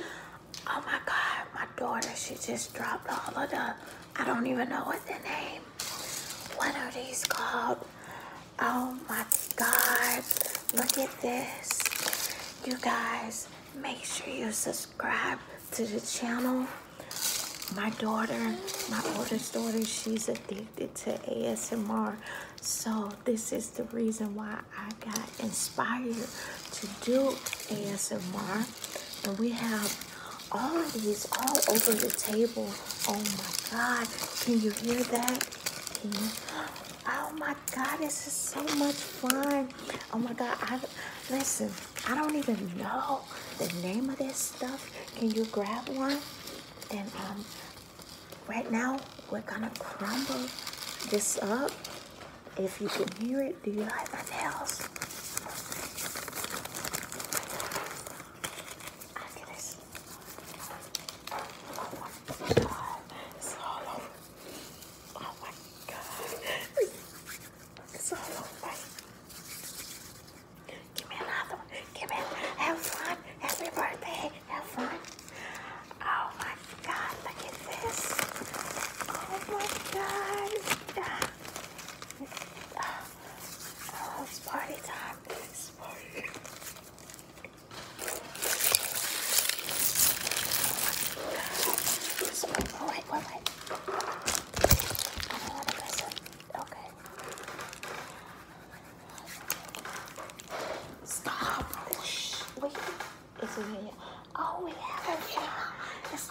Oh my God, my daughter, she just dropped all of the, I don't even know what the name. What are these called? Oh my God, look at this. You guys, make sure you subscribe to the channel. My daughter, my oldest daughter, she's addicted to ASMR. So this is the reason why I got inspired to do ASMR. And we have all of these all over the table. Oh my God. Can you hear that? You? Oh my God, this is so much fun. Oh my God, I, listen, I don't even know the name of this stuff. Can you grab one? And um, right now, we're gonna crumble this up if you can hear it, do you like my nails? Oh my god. It's all over. Oh my god. It's all over. Give me another one. Give me have fun. Happy birthday. Have fun. Oh my god, look at this. Oh my god. Oh, it's party time. Oh, wait, wait, wait. Oh, okay. Stop. Wait. It's over here. Oh, we have a yeah. It's,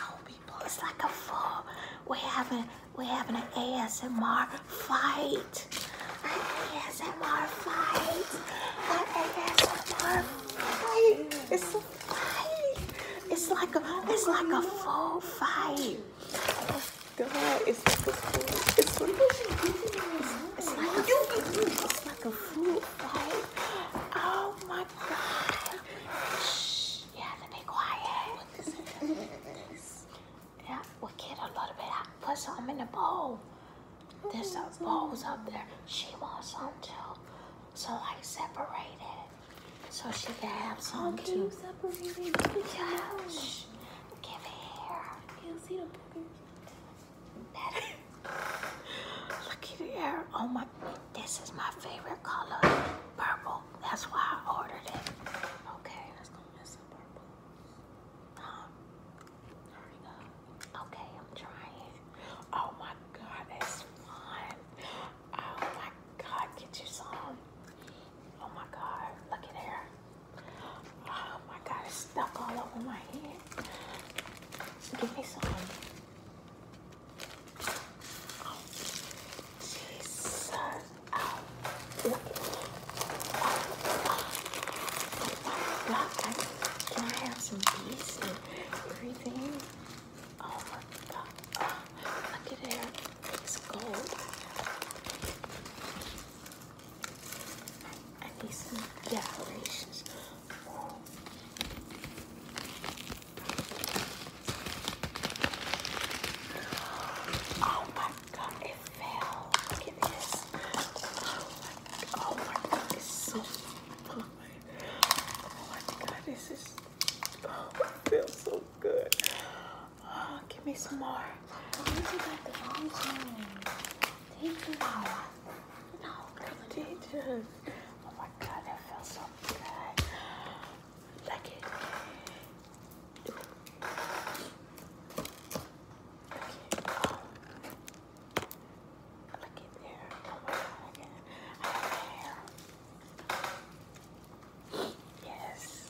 it's like a fall. We having we having an ASMR fight. An ASMR fight. An ASMR fight. It's a fight. It's like a it's like a full fight. Oh God, it's like a full, it's, it's, it's like a, it's, like a fruit fight. Oh my god. Shh. You be quiet. yeah, we'll get a little bit. I put some in the bowl. There's some bowls up there. She wants some too. So like separate it. So she can have some okay, too. Separated. Yeah. Shh. Give it here. you see the boogers. Look at the air! Oh my, this is my favorite color, purple. That's why I ordered it. Okay, let's go mess up purple. Um, there Okay, I'm trying. Oh my God, that's fun. Oh my God, get you some. Oh my God, look at here. Oh my god, it's stuck all over my head. Give me some. Jesus. Oh, my god. Can I have some bees and everything? Oh my god. look at it. It's gold. I need some decorations. Oh my god, it fell. Look at this. Oh my, god, it's so fun. Oh my god, this is. Oh, feels so good. Oh, give me some more. Thank you. No, delicious. Oh my god, that feels so good. Like it. Look at there. Oh my god, I have Yes.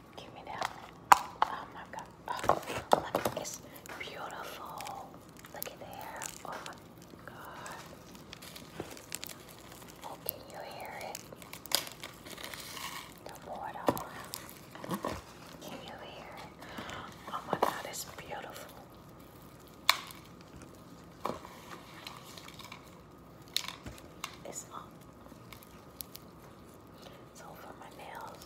Give me that. Oh my god. Oh, look, it's beautiful. Look at there. Oh my god. Oh, can you hear it? The water. Can you hear it? Oh my god, it's beautiful. It's up. So for my nails.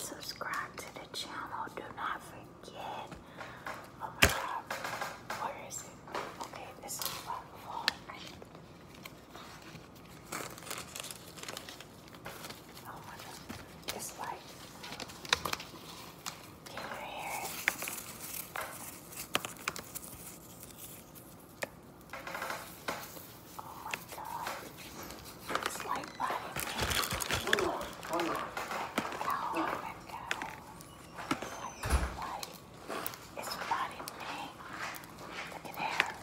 Subscribe to the channel. Do not forget. Oh my god. Where is it? Okay, this is what Oh my god, this light. Can Oh my god, this light body. It's body paint. Look at that.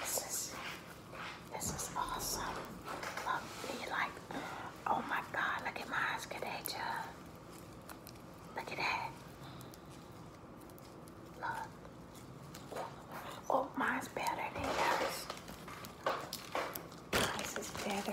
This is this is awesome. Look, you like oh my god, look at my eyes, look at that Look Oh, mine's better than yours. Mine's is better.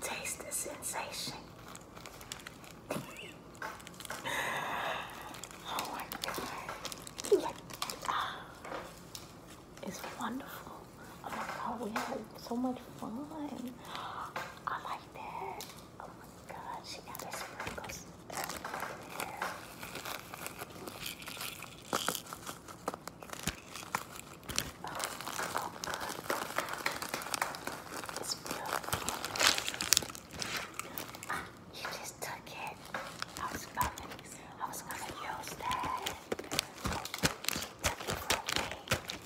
Taste the sensation. oh my god. Ah. it's wonderful. Oh my god, we had so much fun. I like that. Oh my god, she got her sprinkles Oh, oh god. It's beautiful. Ah, you just took it. I was gonna, I was gonna use that. took it from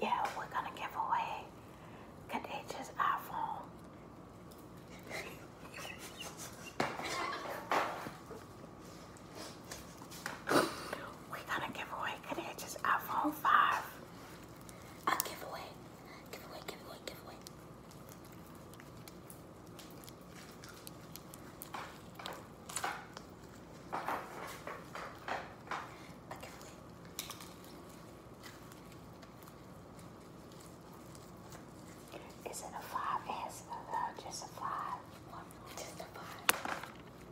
yeah, we're gonna give away Kadeja's iPhone. we're gonna give away Kadeja's iPhone 5. A giveaway. Giveaway, giveaway, giveaway. Is it a five answer or just a five? Just a five.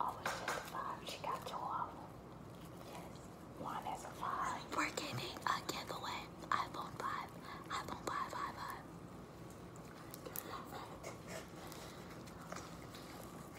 Oh, just a five. She got two Yes. One is a five. We're giving a giveaway. iPhone 5. iPhone 5, 5.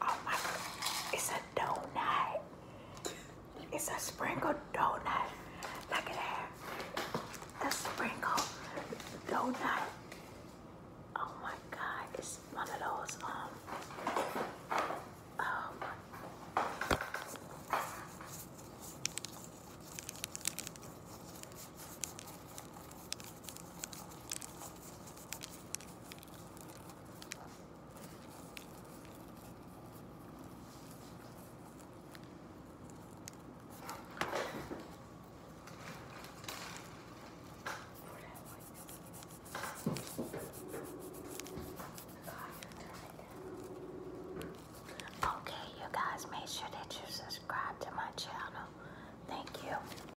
Oh my god, it's a donut. It's a sprinkled donut. Look at that. The sprinkled donut. Oh my god, it's one of those, um, um, Okay, you guys, make sure that you subscribe to my channel. Thank you.